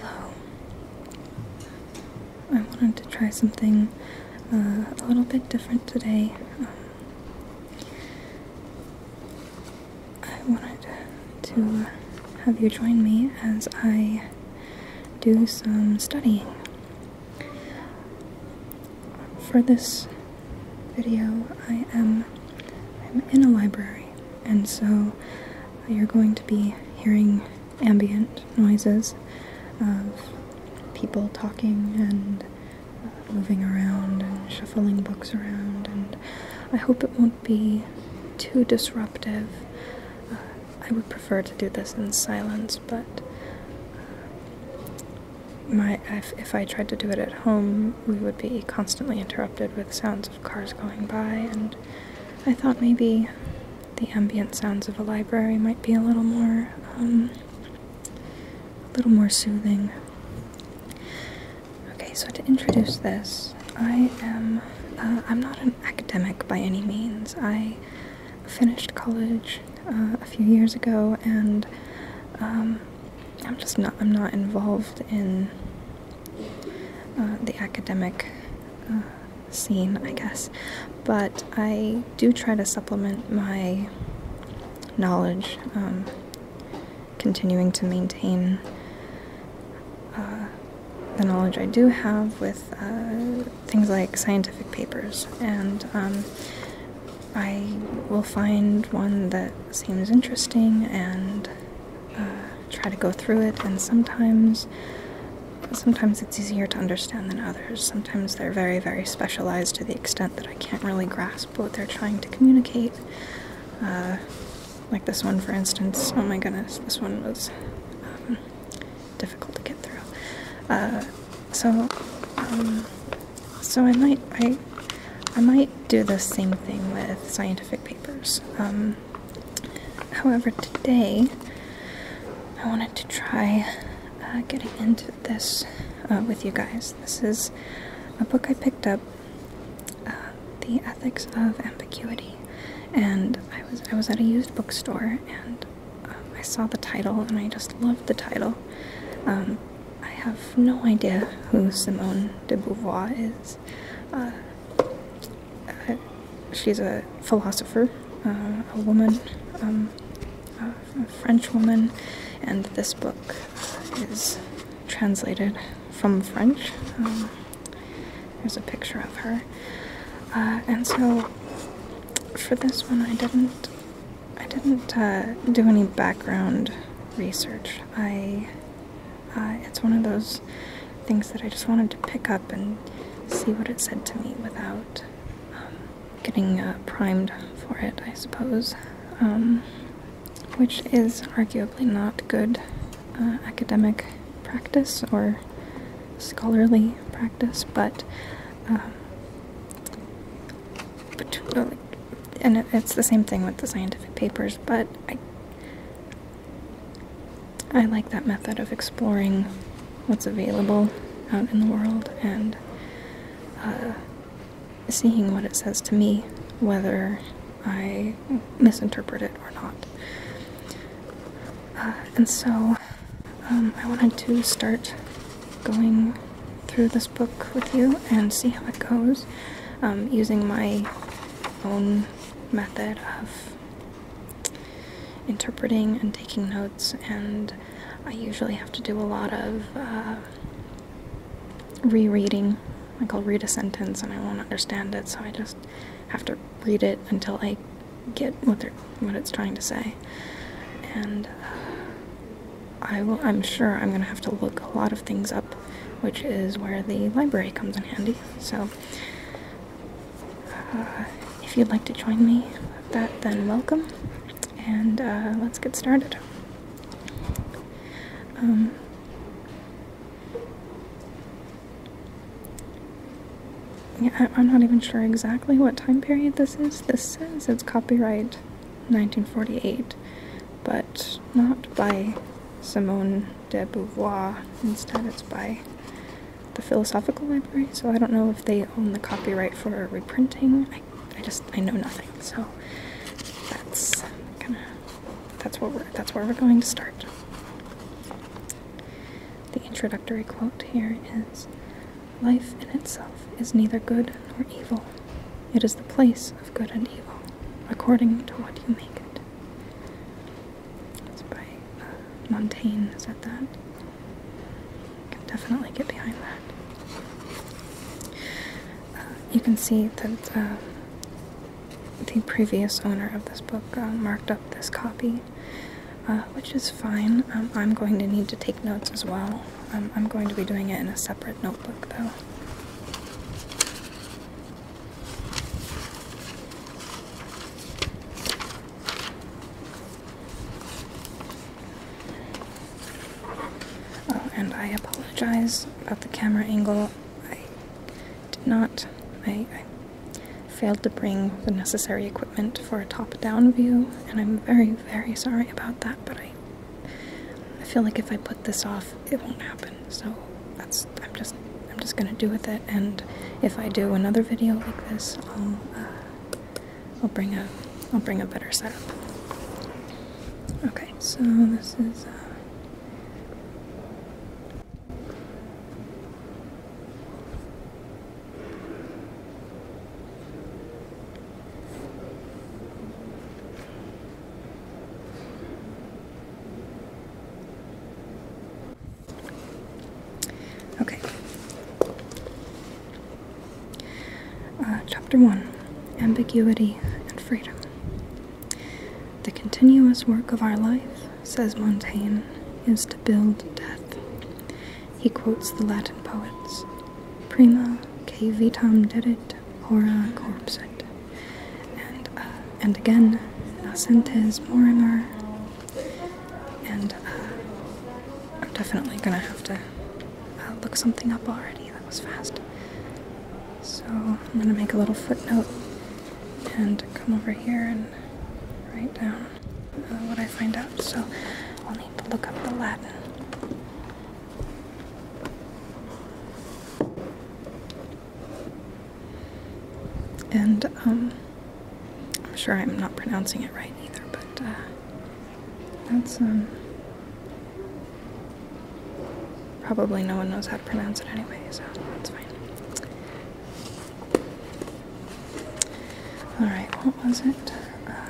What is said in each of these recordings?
Hello. I wanted to try something uh, a little bit different today. Um, I wanted to have you join me as I do some studying. For this video, I'm in a library and so you're going to be hearing ambient noises of people talking and uh, moving around and shuffling books around, and I hope it won't be too disruptive. Uh, I would prefer to do this in silence, but uh, my if I tried to do it at home, we would be constantly interrupted with sounds cars going by, and I thought maybe the ambient sounds of a library might be a little more, um, a little more soothing. Okay, so to introduce this, I am, uh, I'm not an academic by any means. I finished college uh, a few years ago, and um, I'm just not, I'm not involved in uh, the academic uh, scene, I guess. But I do try to supplement my knowledge, um, continuing to maintain uh, the knowledge I do have with things like scientific papers. And um, I will find one that seems interesting and try to go through it, and sometimes sometimes it's easier to understand than others. Sometimes they're very, very specialized to the extent that I can't really grasp what they're trying to communicate. Uh, like this one, for instance. Oh my goodness, this one was um, difficult to get through. Uh, so, um, so I might I I might do the same thing with scientific papers. Um, however, today I wanted to try uh, getting into this uh, with you guys. This is a book I picked up, uh, "The Ethics of Ambiguity," and I was I was at a used bookstore and um, I saw the title and I just loved the title. Um, I have no idea who Simone de Beauvoir is. she's a philosopher, uh, a woman, um, a French woman, and this book is translated from French. Um, there's a picture of her. Uh, and so for this one I didn't I didn't uh, do any background research. I uh, it's one of those things that I just wanted to pick up and see what it said to me without um, getting uh, primed for it, I suppose. Um, which is arguably not good uh, academic practice or scholarly practice, but. Um, but, and it's the same thing with the scientific papers, but I I like that method of exploring what's available out in the world and uh, seeing what it says to me, whether I misinterpret it or not. Uh, and so um, I wanted to start going through this book with you and see how it goes um, using my own method of interpreting and taking notes, and I usually have to do a lot of uh, rereading. Like, I'll read a sentence and I won't understand it, so I just have to read it until I get what it's trying to say. And uh, I'm sure I'm gonna have to look a lot of things up, which is where the library comes in handy. So uh, if you'd like to join me that, then welcome, and uh, let's get started. Um, yeah, I'm not even sure exactly what time period this is. This says it's copyright 1948, but not by Simone de Beauvoir. Instead, it's by the Philosophical Library, so I don't know if they own the copyright for reprinting. I, just I know nothing, so that's kind of that's what we're that's where we're going to start. The introductory quote here is Life in itself is neither good nor evil. It is the place of good and evil, according to what you make it. It's by uh, Montaigne, is that that? Can definitely get behind that. Uh, you can see that um, the previous owner of this book uh, marked up this copy, which is fine. Um, I'm going to need to take notes as well. Um, I'm going to be doing it in a separate notebook, though. Oh, and I apologize about the camera angle. I did not, I, failed to bring the necessary equipment for a top down view, and I'm very, very sorry about that, but I. I feel like if I put this off, it won't happen. So that's I'm just I'm just gonna do with it and if I do another video like this I'll uh, I'll bring a I'll bring a better setup. Okay, so this is uh, Okay. Uh, chapter 1 Ambiguity and Freedom. The continuous work of our life, says Montaigne, is to build death. He quotes the Latin poets Prima que vitam dedit, hora corpset, and, uh, and again, nascentes morimer, and uh, I'm definitely gonna have to uh, look something up already. That was fast. So I'm gonna make a little footnote and come over here and write down uh, what I find out. So I'll need to look up the Latin. And um, I'm sure I'm not pronouncing it right either, but uh, that's um, probably no one knows how to pronounce it anyway, so that's fine. All right, what was it? Uh,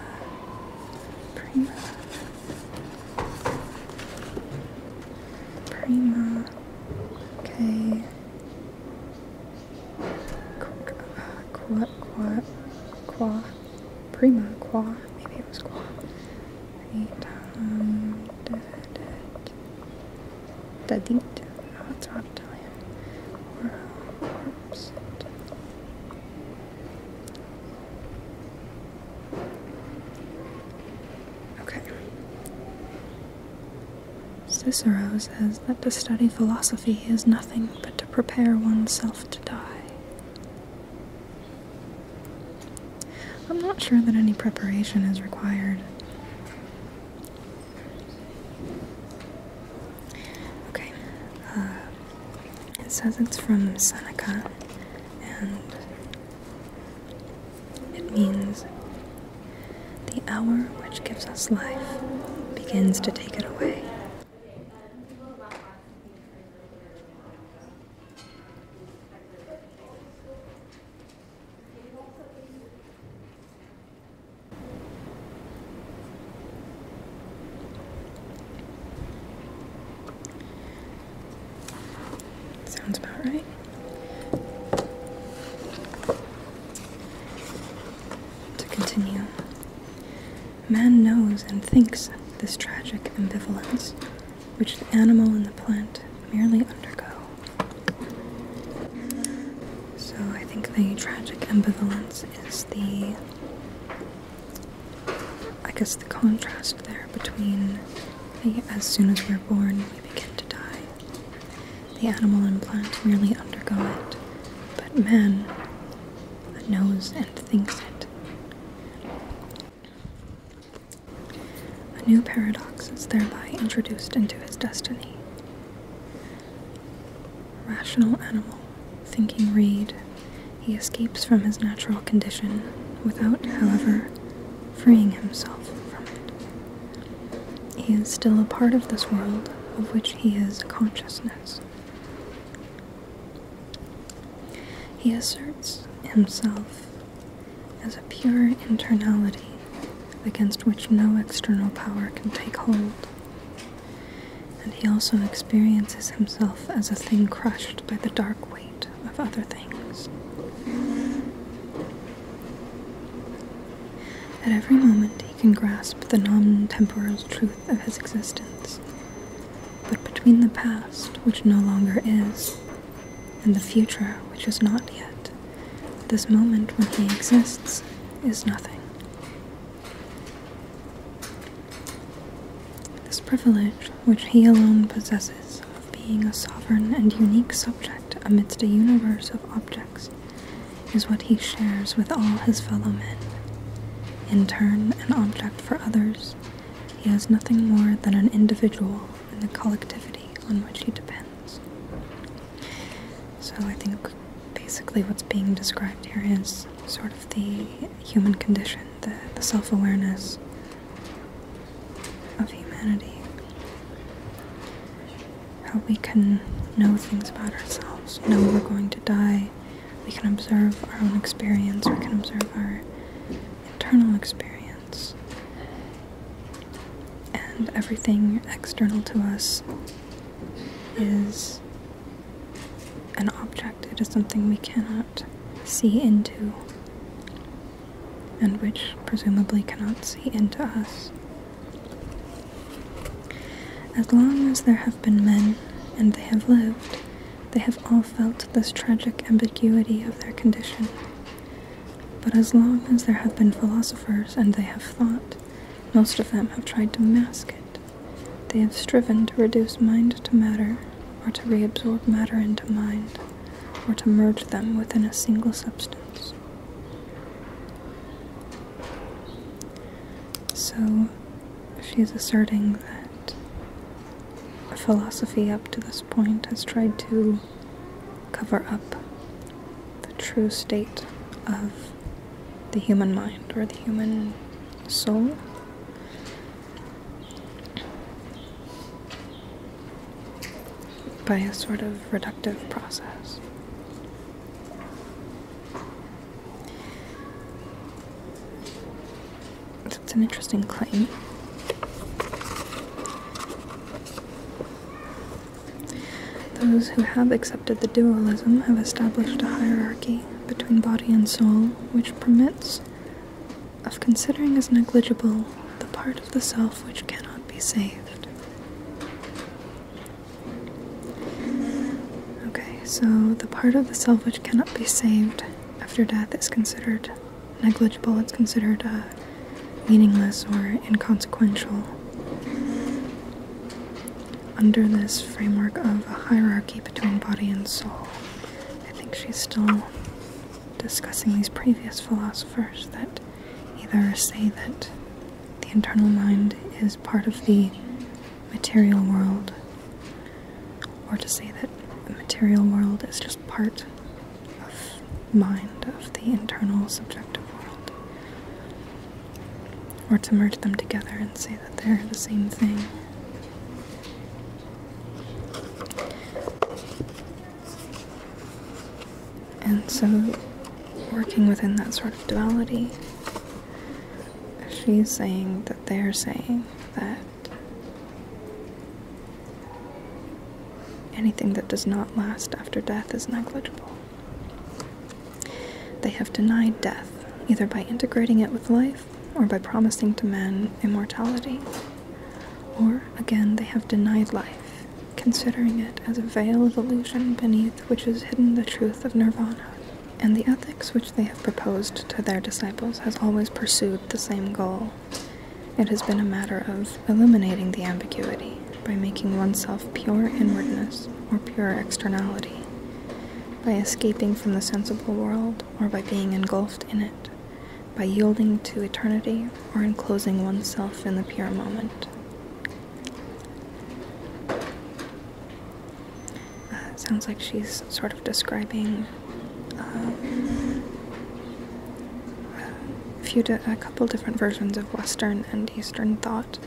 prima. Prima. Okay qua, qua, qua, prima, qua, maybe it was qua. Right, oh, it's not Italian. Okay. Cicero says that to study philosophy is nothing but to prepare oneself to die. I'm not sure that any preparation is required. Okay, uh, it says it's from Seneca, and it means the hour which gives us life begins to take it away. Sounds about right. To continue, man knows and thinks this tragic ambivalence, which the animal and the plant merely undergo. So I think the tragic ambivalence is the. I guess the contrast there between the as soon as we're born, we begin to die, the animal and plant merely undergo it, but man knows and thinks it. A new paradox is thereby introduced into his destiny. Rational animal, thinking reed, he escapes from his natural condition without, however, freeing himself from it. He is still a part of this world of which he is consciousness. He asserts himself as a pure internality against which no external power can take hold. And he also experiences himself as a thing crushed by the dark weight of other things. At every moment, can grasp the non temporal truth of his existence. But between the past, which no longer is, and the future, which is not yet, this moment when he exists is nothing. This privilege, which he alone possesses, of being a sovereign and unique subject amidst a universe of objects, is what he shares with all his fellow men. In turn, an object for others, he has nothing more than an individual and the collectivity on which he depends. So I think basically what's being described here is sort of the human condition, the, the self awareness of humanity how we can know things about ourselves, know we're going to die. We can observe our own experience, we can observe our internal experience. And everything external to us is an object, it is something we cannot see into, and which presumably cannot see into us. As long as there have been men, and they have lived, they have all felt this tragic ambiguity of their condition. But as long as there have been philosophers and they have thought, most of them have tried to mask it. They have striven to reduce mind to matter, or to reabsorb matter into mind, or to merge them within a single substance. So she's asserting that philosophy up to this point has tried to cover up the true state of the human mind or the human soul. By a sort of reductive process. That's an interesting claim. Those who have accepted the dualism have established a hierarchy between body and soul which permits of considering as negligible the part of the self which cannot be saved. Okay, so the part of the self which cannot be saved after death is considered negligible, it's considered uh, meaningless or inconsequential. Under this framework of a hierarchy between body and soul, I think she's still discussing these previous philosophers that either say that the internal mind is part of the material world, or to say that the material world is just part of mind, of the internal subjective world, or to merge them together and say that they're the same thing. And so, working within that sort of duality she's saying that they're saying that anything that does not last after death is negligible. They have denied death, either by integrating it with life or by promising to man immortality. Or, again, they have denied life, considering it as a veil of illusion beneath which has hidden the truth of nirvana, and the ethics which they have proposed to their disciples has always pursued the same goal. It has been a matter of eliminating the ambiguity by making oneself pure inwardness or pure externality, by escaping from the sensible world or by being engulfed in it, by yielding to eternity or enclosing oneself in the pure moment. Uh, it sounds like she's sort of describing um, a, few a couple different versions of Western and Eastern thought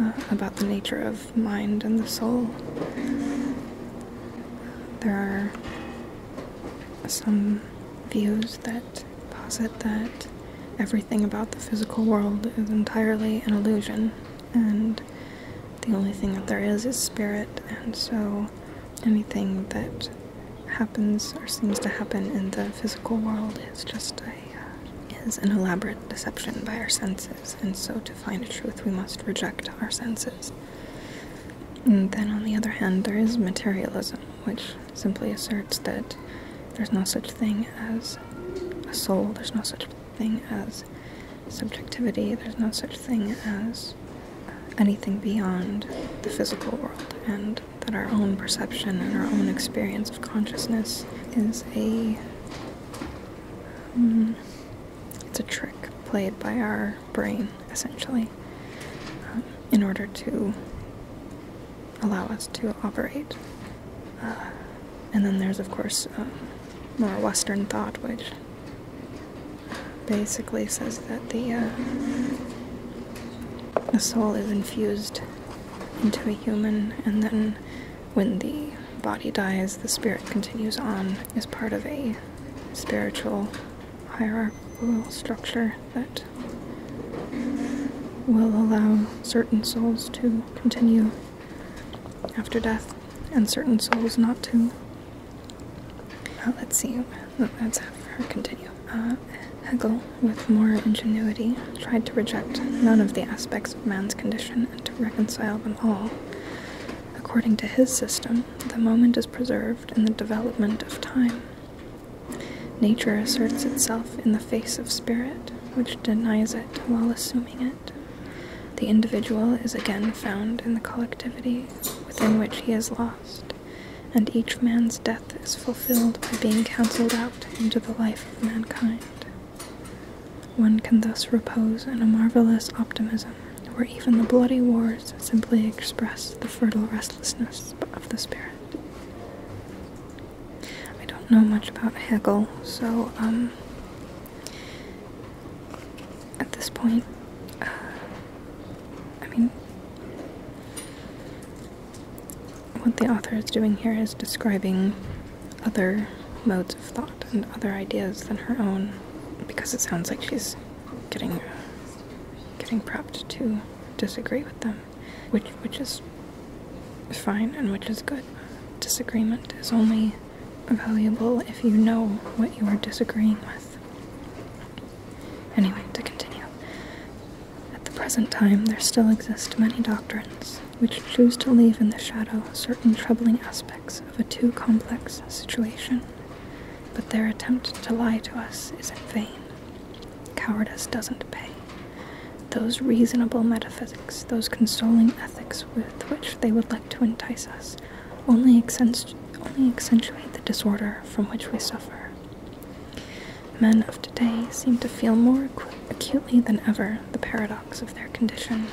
uh, about the nature of mind and the soul. There are some views that posit that everything about the physical world is entirely an illusion, and the only thing that there is is spirit, and so anything that happens or seems to happen in the physical world is just a uh, is an elaborate deception by our senses, and so to find truth we must reject our senses. And then on the other hand, there is materialism, which simply asserts that there's no such thing as a soul, there's no such thing as subjectivity, there's no such thing as anything beyond the physical world, and that our own perception and our own experience of consciousness is a. Um, it's a trick played by our brain, essentially, um, in order to allow us to operate uh, and then there's, of course, um, more Western thought, which basically says that the, uh, the soul is infused into a human, and then when the body dies, the spirit continues on as part of a spiritual hierarchical structure that will allow certain souls to continue after death, and certain souls not to. Uh, let's see, let's have her continue. Uh, Hegel, with more ingenuity, tried to reject none of the aspects of man's condition and to reconcile them all. According to his system, the moment is preserved in the development of time. Nature asserts itself in the face of spirit, which denies it while assuming it. The individual is again found in the collectivity within which he is lost, and each man's death is fulfilled by being cancelled out into the life of mankind. One can thus repose in a marvelous optimism where even the bloody wars simply express the fertile restlessness of the spirit. I don't know much about Hegel, so um, at this point, uh, I mean, what the author is doing here is describing other modes of thought and other ideas than her own, because it sounds like she's getting getting prepped to disagree with them, which which is fine and which is good. Disagreement is only valuable if you know what you are disagreeing with. Anyway, to continue. At the present time, there still exist many doctrines which choose to leave in the shadow certain troubling aspects of a too complex situation, but their attempt to lie to us is in vain. Cowardice doesn't pay. Those reasonable metaphysics, those consoling ethics, with which they would like to entice us only, accent only accentuate the disorder from which we suffer. Men of today seem to feel more acutely than ever the paradox of their condition.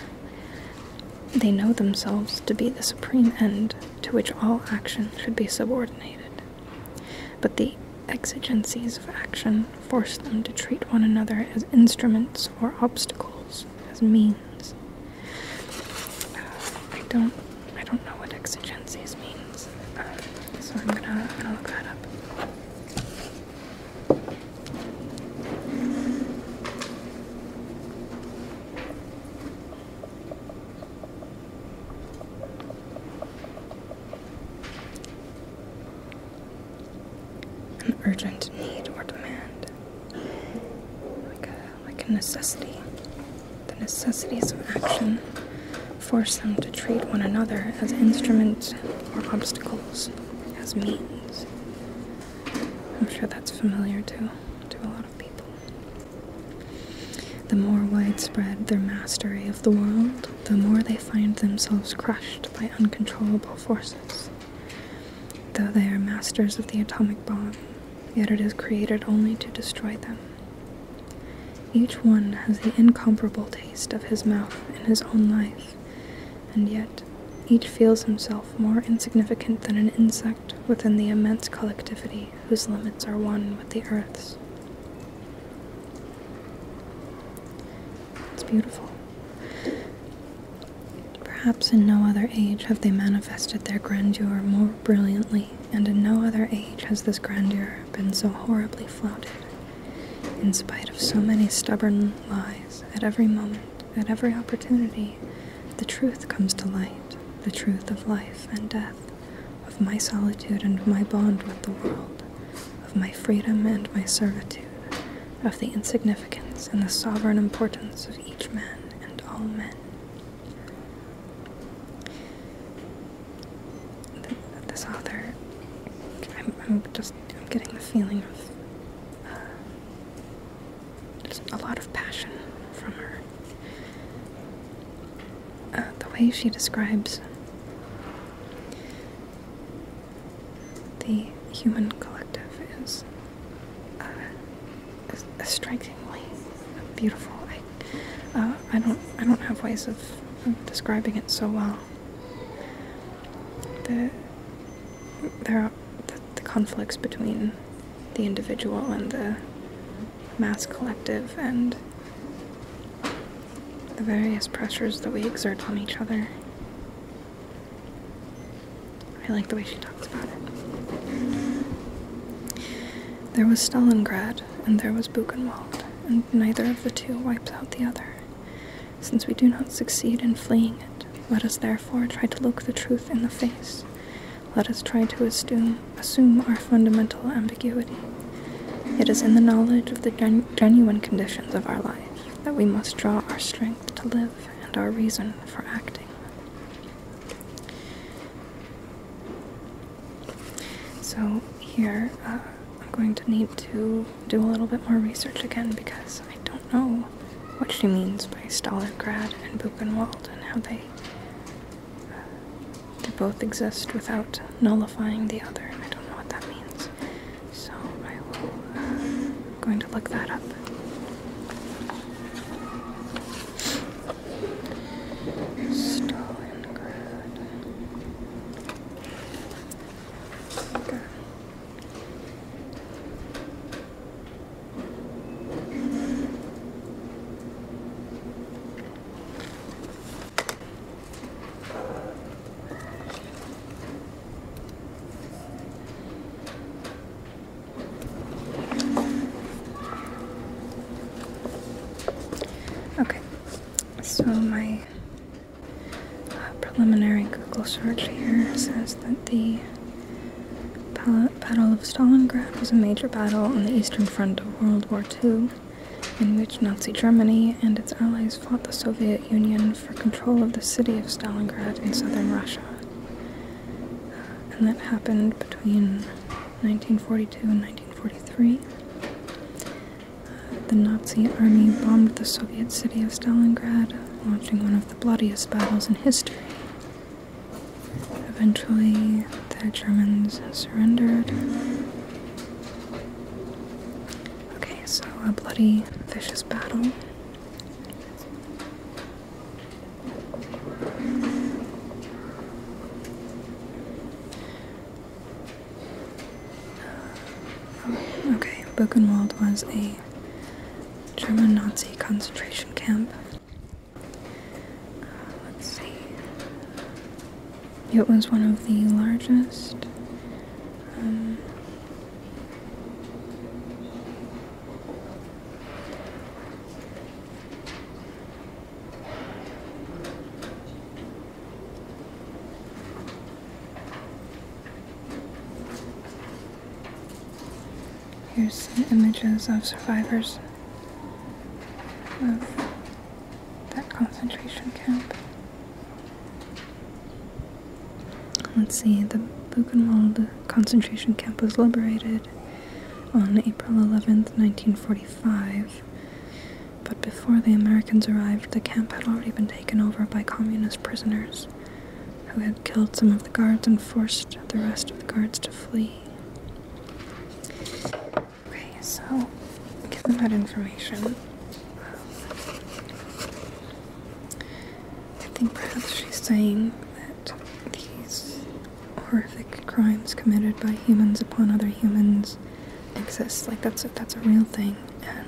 They know themselves to be the supreme end to which all action should be subordinated. But the exigencies of action force them to treat one another as instruments or obstacles, as means. Uh, I don't, I don't know what exigencies means, uh, so I'm gonna look that up an urgent need or demand, like a, like a necessity. The necessities of action force them to treat one another as instruments or obstacles, as means. I'm sure that's familiar to, to a lot of people. The more widespread their mastery of the world, the more they find themselves crushed by uncontrollable forces. Though they are masters of the atomic bomb, yet it is created only to destroy them. Each one has the incomparable taste of his mouth in his own life, and yet each feels himself more insignificant than an insect within the immense collectivity whose limits are one with the earth's. It's beautiful. Perhaps in no other age have they manifested their grandeur more brilliantly, and in no other age has this grandeur been so horribly flouted. In spite of so many stubborn lies, at every moment, at every opportunity, the truth comes to light, the truth of life and death, of my solitude and my bond with the world, of my freedom and my servitude, of the insignificance and the sovereign importance of each man and all men. This author, I'm, just I'm getting the feeling of uh, a lot of passion from her. Uh, the way she describes the human collective is, uh, strikingly beautiful. Uh, I, don't I don't have ways of describing it so well. The there are the conflicts between the individual and the mass collective and the various pressures that we exert on each other I like the way she talks about it. There was Stalingrad, and there was Buchenwald, and neither of the two wipes out the other. Since we do not succeed in fleeing it, let us therefore try to look the truth in the face. Let us try to assume, our fundamental ambiguity. It is in the knowledge of the genuine conditions of our life that we must draw our strength to live and our reason for acting. So, here uh, I'm going to need to do a little bit more research again because I don't know what she means by Stalingrad and Buchenwald and how they, uh, they both exist without nullifying the other. I don't know what that means. So, I am going to look that up. Okay, so my uh, preliminary Google search here says that the Battle of Stalingrad was a major battle on the Eastern Front of World War II in which Nazi Germany and its allies fought the Soviet Union for control of the city of Stalingrad in southern Russia and that happened between 1942 and 1943. Uh, the Nazi army bombed the Soviet city of Stalingrad, launching one of the bloodiest battles in history. Eventually, the Germans surrendered. Okay, so a bloody, vicious battle. Okay, Buchenwald was a German Nazi concentration camp. Uh, let's see. It was one of the largest. Um, Here's some images of survivors of that concentration camp. Let's see, the Buchenwald concentration camp was liberated on April 11, 1945. But before the Americans arrived, the camp had already been taken over by communist prisoners who had killed some of the guards and forced the rest of the guards to flee. Okay, so give them that information. I think perhaps she's saying that these horrific crimes committed by humans upon other humans exist. Like that's a, that's a real thing, and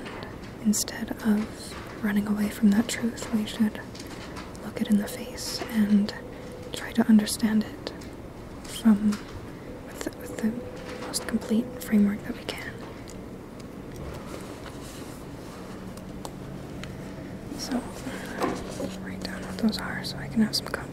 instead of running away from that truth, we should look it in the face and try to understand it from with with the most complete framework that we can. So, write down what those are so I can have some context.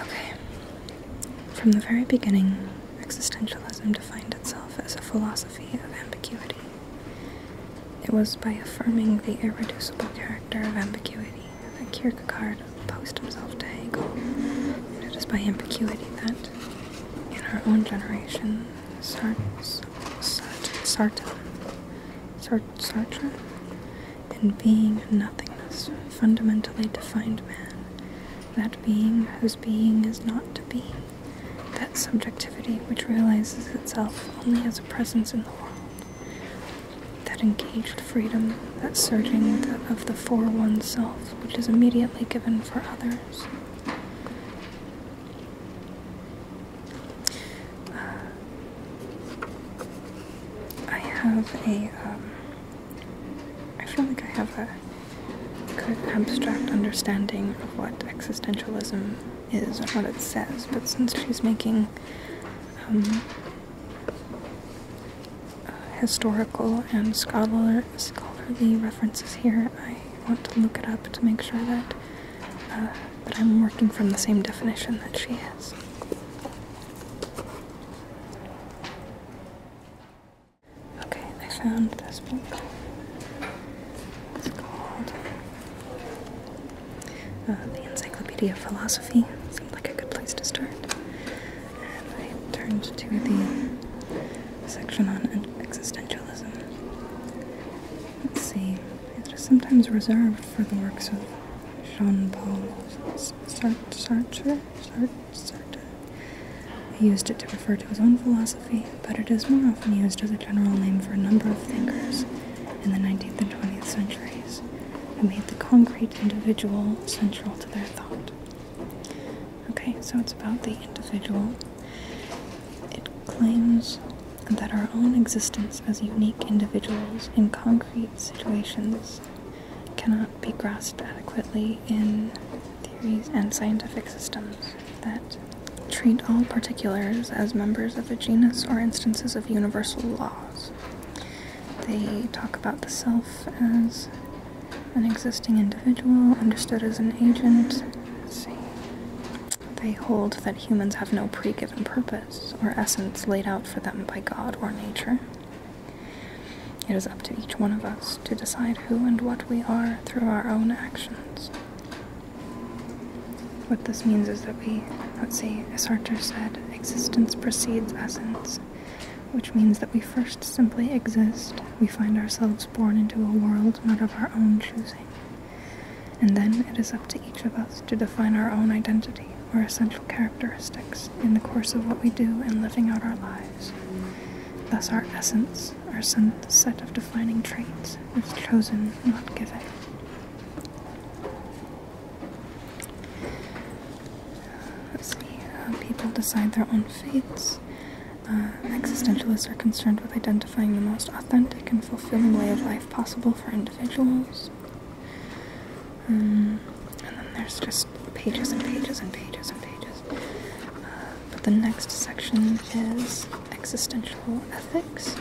Okay. From the very beginning, existentialism defined itself as a philosophy of ambiguity. It was by affirming the irreducible character of ambiguity that Kierkegaard opposed himself to Hegel. And it is by ambiguity that, in our own generation, Sartre, Sartre, Sartre, in being and nothingness, fundamentally defined man that being whose being is not to be, that subjectivity which realizes itself only as a presence in the world, that engaged freedom, that surging of the for oneself which is immediately given for others. Uh, I have a um, I feel like I have a good abstract understanding of what existentialism is and what it says, but since she's making um, historical and scholarly references here, I want to look it up to make sure that uh, that I'm working from the same definition that she is. Okay, I found this book. It's called uh, The Encyclopedia of Philosophy. Seemed like a good place to start. And I turned to the section on existentialism. Let's see, it is sometimes reserved for the works of Jean Paul Sartre? He used it to refer to his own philosophy, but it is more often used as a general name for a number of thinkers in the 19th and 20th centuries who made the concrete individual central to their thought. Okay, so it's about the individual. It claims that our own existence as unique individuals in concrete situations cannot be grasped adequately in theories and scientific systems that treat all particulars as members of a genus or instances of universal laws. They talk about the self as an existing individual, understood as an agent. They hold that humans have no pre given purpose or essence laid out for them by God or nature. It is up to each one of us to decide who and what we are through our own actions. What this means is that we, let's see, as Sartre said, existence precedes essence, which means that we first simply exist. We find ourselves born into a world not of our own choosing. And then it is up to each of us to define our own identity or essential characteristics in the course of what we do in living out our lives. Thus, our essence, our set of defining traits, is chosen, not given. Uh, people decide their own fates. Uh, existentialists are concerned with identifying the most authentic and fulfilling way of life possible for individuals. Um, and then there's just pages and pages and pages and pages. Uh, but the next section is existential ethics.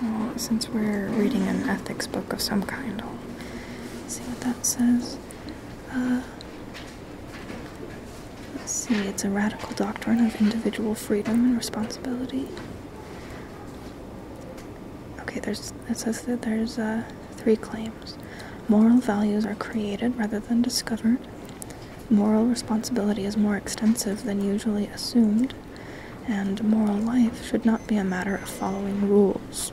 So, since we're reading an ethics book of some kind, I'll see what that says. Uh, let's see, it's a radical doctrine of individual freedom and responsibility. Okay, there's it says that there's uh, three claims. Moral values are created rather than discovered. Moral responsibility is more extensive than usually assumed, and moral life should not be a matter of following rules.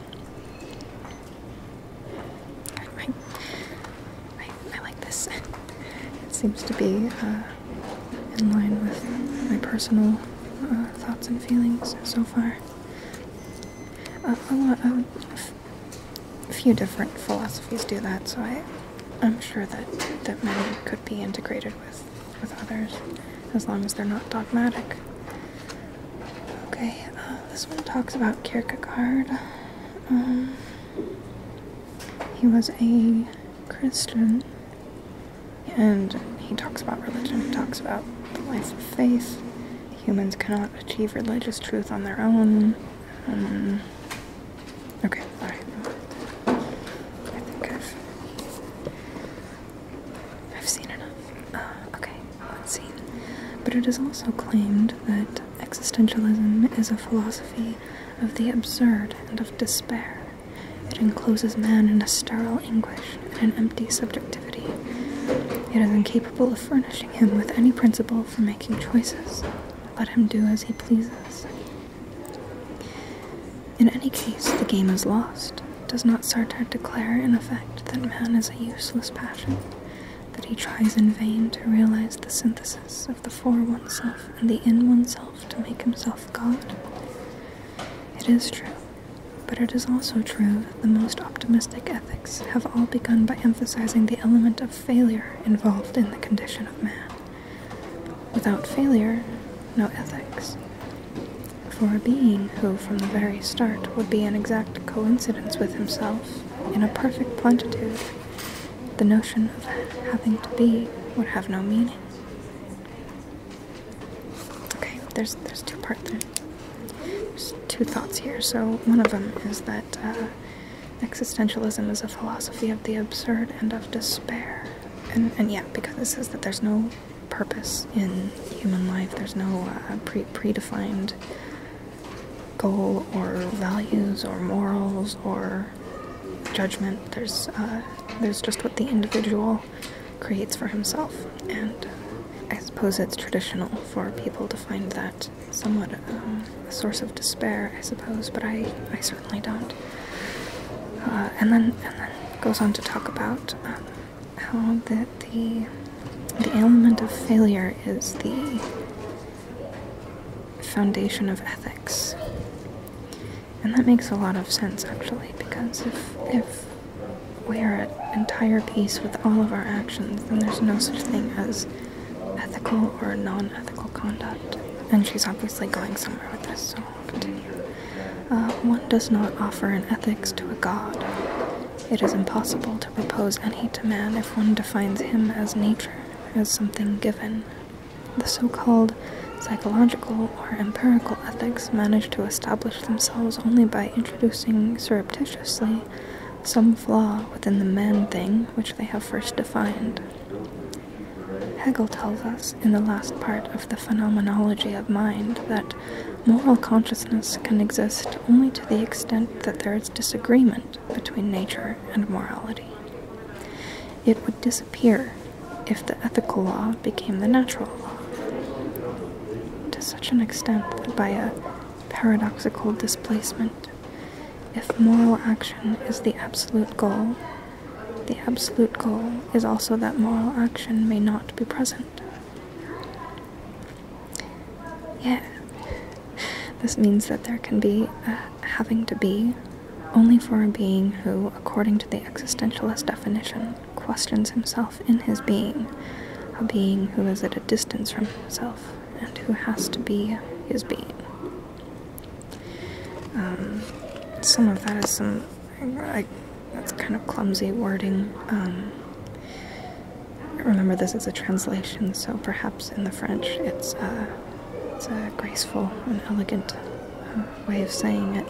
I, like this. It seems to be uh, in line with my personal uh, thoughts and feelings so far. Uh, a few different philosophies do that, so I, I'm sure that, that many could be integrated with, with others as long as they're not dogmatic. Okay, uh, this one talks about Kierkegaard. Um, he was a Christian, and he talks about religion, he talks about the life of faith. Humans cannot achieve religious truth on their own. Um, okay, I, I think I've, seen enough. Uh, okay, unseen. But it is also claimed that existentialism is a philosophy of the absurd and of despair. It encloses man in a sterile anguish and an empty subjectivity. It is incapable of furnishing him with any principle for making choices. Let him do as he pleases. In any case, the game is lost. Does not Sartre declare, in effect, that man is a useless passion, that he tries in vain to realize the synthesis of the for oneself and the in oneself to make himself God? It is true, but it is also true that the most optimistic ethics have all begun by emphasizing the element of failure involved in the condition of man. Without failure, no ethics. For a being who, from the very start, would be an exact coincidence with himself, in a perfect plenitude, the notion of having to be would have no meaning. Okay, there's there's two parts there. There's two thoughts here. So one of them is that uh, Existentialism is a philosophy of the absurd and of despair. And, and yeah, because it says that there's no purpose in human life, there's no uh, pre predefined goal or values or morals or judgment. There's, uh, there's just what the individual creates for himself. And I suppose it's traditional for people to find that somewhat a source of despair, I suppose, but I, I certainly don't. Uh, and then and then goes on to talk about um, how that the the ailment of failure is the foundation of ethics. And that makes a lot of sense actually, because if if we are at entire peace with all of our actions, then there's no such thing as ethical or non ethical conduct. And she's obviously going somewhere with this, so continue. Uh, one does not offer an ethics to a god. It is impossible to propose any to man if one defines him as nature, as something given. The so called psychological or empirical ethics manage to establish themselves only by introducing surreptitiously some flaw within the man thing which they have first defined. Hegel tells us in the last part of the Phenomenology of Mind that moral consciousness can exist only to the extent that there is disagreement between nature and morality. It would disappear if the ethical law became the natural law. To such an extent by a paradoxical displacement, if moral action is the absolute goal, the absolute goal is also that moral action may not be present. Yeah, this means that there can be a having to be only for a being who, according to the existentialist definition, questions himself in his being, a being who is at a distance from himself and who has to be his being. Um, some of that is some. I, that's kind of clumsy wording. Um, remember, this is a translation, so perhaps in the French it's uh, a, graceful and elegant uh, way of saying it.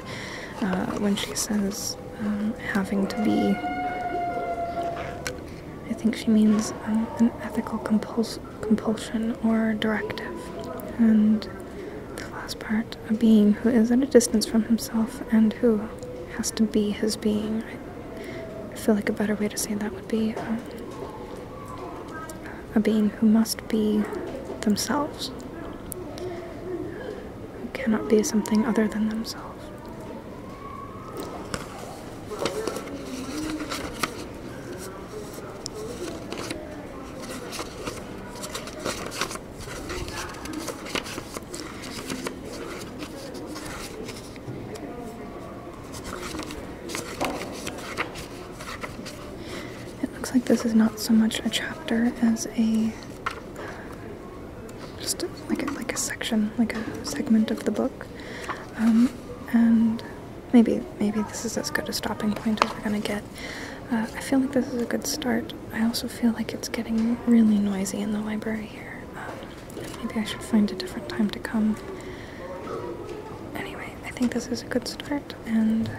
Uh, when she says um, having to be I think she means um, an ethical compulsion or directive. And the last part, a being who is at a distance from himself and who has to be his being. I feel like a better way to say that would be um, a being who must be themselves, who cannot be something other than themselves. It looks like this is not so much a chapter as a just like a, like a section, like a segment of the book, um, and Maybe, maybe this is as good a stopping point as we're gonna get. Uh, I feel like this is a good start. I also feel like it's getting really noisy in the library here. Um, maybe I should find a different time to come. Anyway, I think this is a good start, and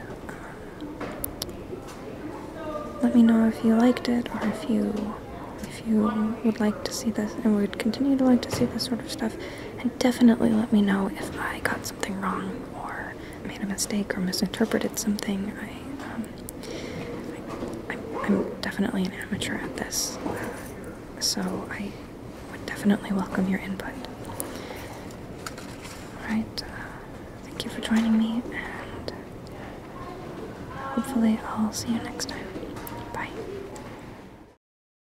uh, let me know if you liked it or if you if you would like to see this and would continue to like to see this sort of stuff and definitely let me know if I got something wrong or made a mistake or misinterpreted something. I, um, I, am definitely an amateur at this, uh, so I would definitely welcome your input. Alright, uh, thank you for joining me, and hopefully, I'll see you next time. Bye.